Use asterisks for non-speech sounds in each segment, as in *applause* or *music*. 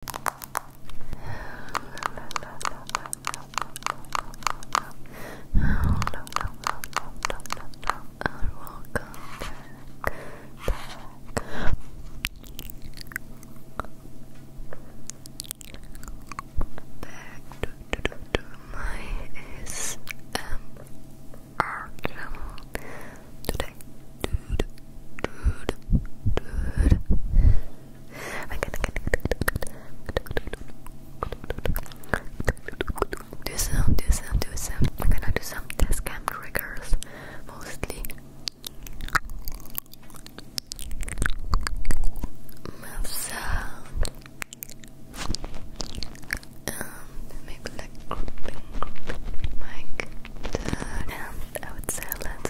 to my today dude, dude, dude. Do some, do some, do some. We're gonna do some test cam triggers, mostly. Mouth sound. Um, and maybe like grouping, grouping mic. And I would say let's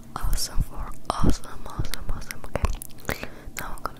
awesome for awesome, awesome, awesome. Okay, now I'm gonna.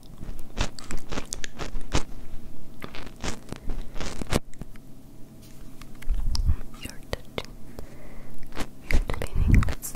You're touching your feelings.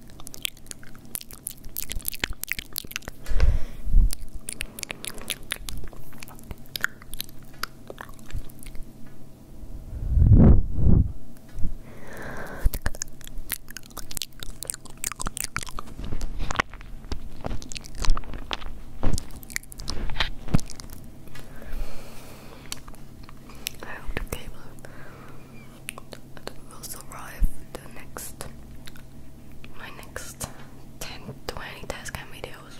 I hope the cable it will survive the next my next 10 20 test cam videos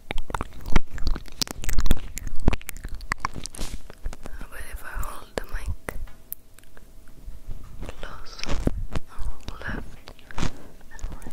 But if I hold the mic close on left and right.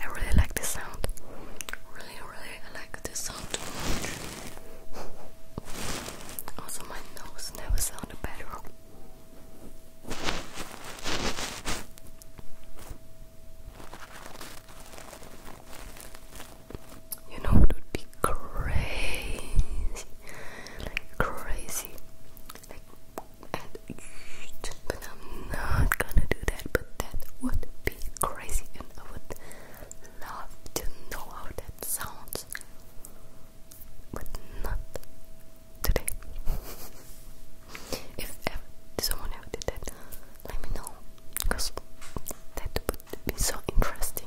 I really like this sound. Really, really like this sound too much. Also my nose never sounded better. You know what would be crazy? Like crazy. Like and but I'm not gonna do that, but that would be crazy and I would love to know how that sounds. But not today. *laughs* if ever someone ever did that, let me know because that would be so interesting.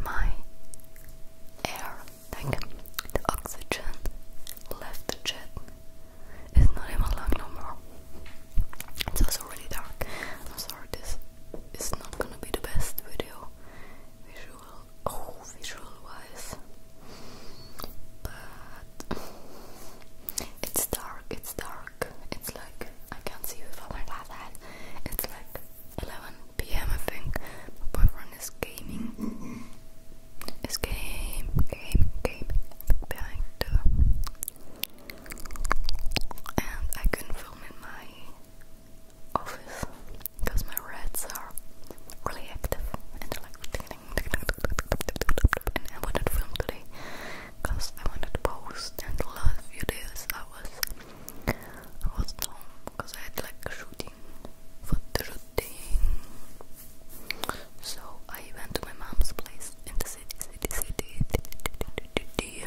My air, like the oxygen left the jet, is not in my no more. It's also really dark. I'm sorry, this is not gonna be the best video, visual, oh, visual wise. *sighs* it's dark, it's dark. It's like, I can't see you if I went like that. It's like 11 pm, I think. My boyfriend is gaming. Mm It's game, game, game behind the. And I couldn't film in my office because my rats are really active and like I wanted to film today because I wanted to post and the last few days I was I was home because I had like shooting for the shooting so I went to my mom's place in the city city city, city, city.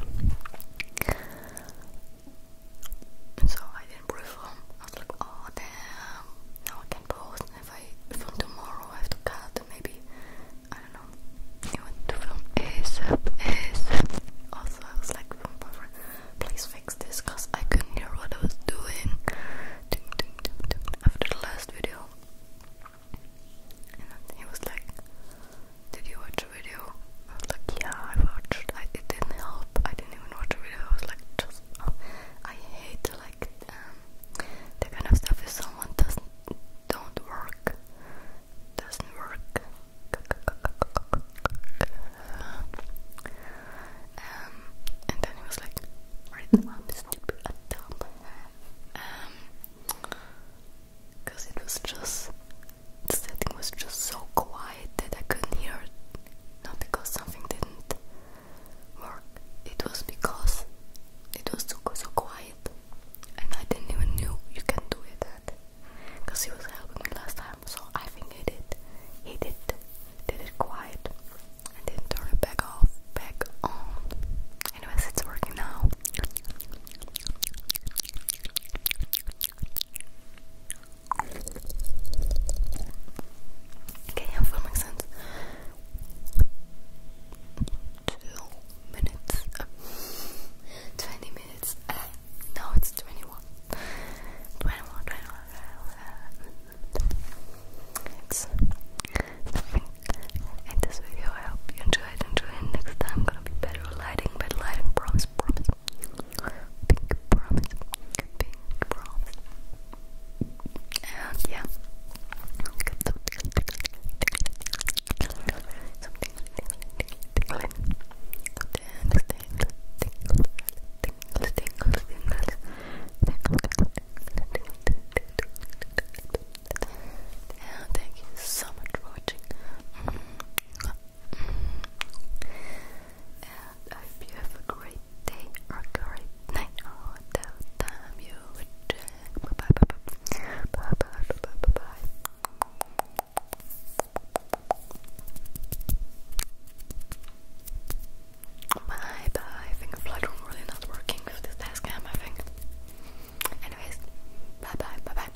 so I didn't perform. I was like, oh damn, now I can post if I film tomorrow, I have to cut maybe, I don't know, you want to film ASAP, ASAP. Also, I was like, please fix this because I couldn't hear what I was doing after the last video. And he was like, Did you watch a video? I was like, Yeah, I watched. it didn't help. I didn't even watch a video. I was like, Just. Oh, I hate like um, that kind of stuff if someone doesn't don't work doesn't work um, and then he was like I'm stupid a dumb um because it was just the setting was just so quiet that I couldn't hear it not because something didn't work. It was because it was so, so quiet and I didn't even know you can do it that. Because he was helping me last time, so I think he did. He did did it quiet and then turn it back off, back on. Anyways, it's working now. Okay, I'm filming since two minutes, *laughs* twenty minutes. Uh, no, it's twenty-one. Twenty-one, twenty-one. 21. in this video. I hope you enjoyed. Enjoy Next time, gonna be better lighting. Better lighting. Promise. Promise. promise yeah. thank you so much for watching. Mm. Mm. I hope you have a great day or great night or oh, time you would check. Bye bye bye bye. Bye bye bye bye bye. Bye bye. I think Lightroom really not working with this desk cam, I think. Anyways, bye bye bye bye.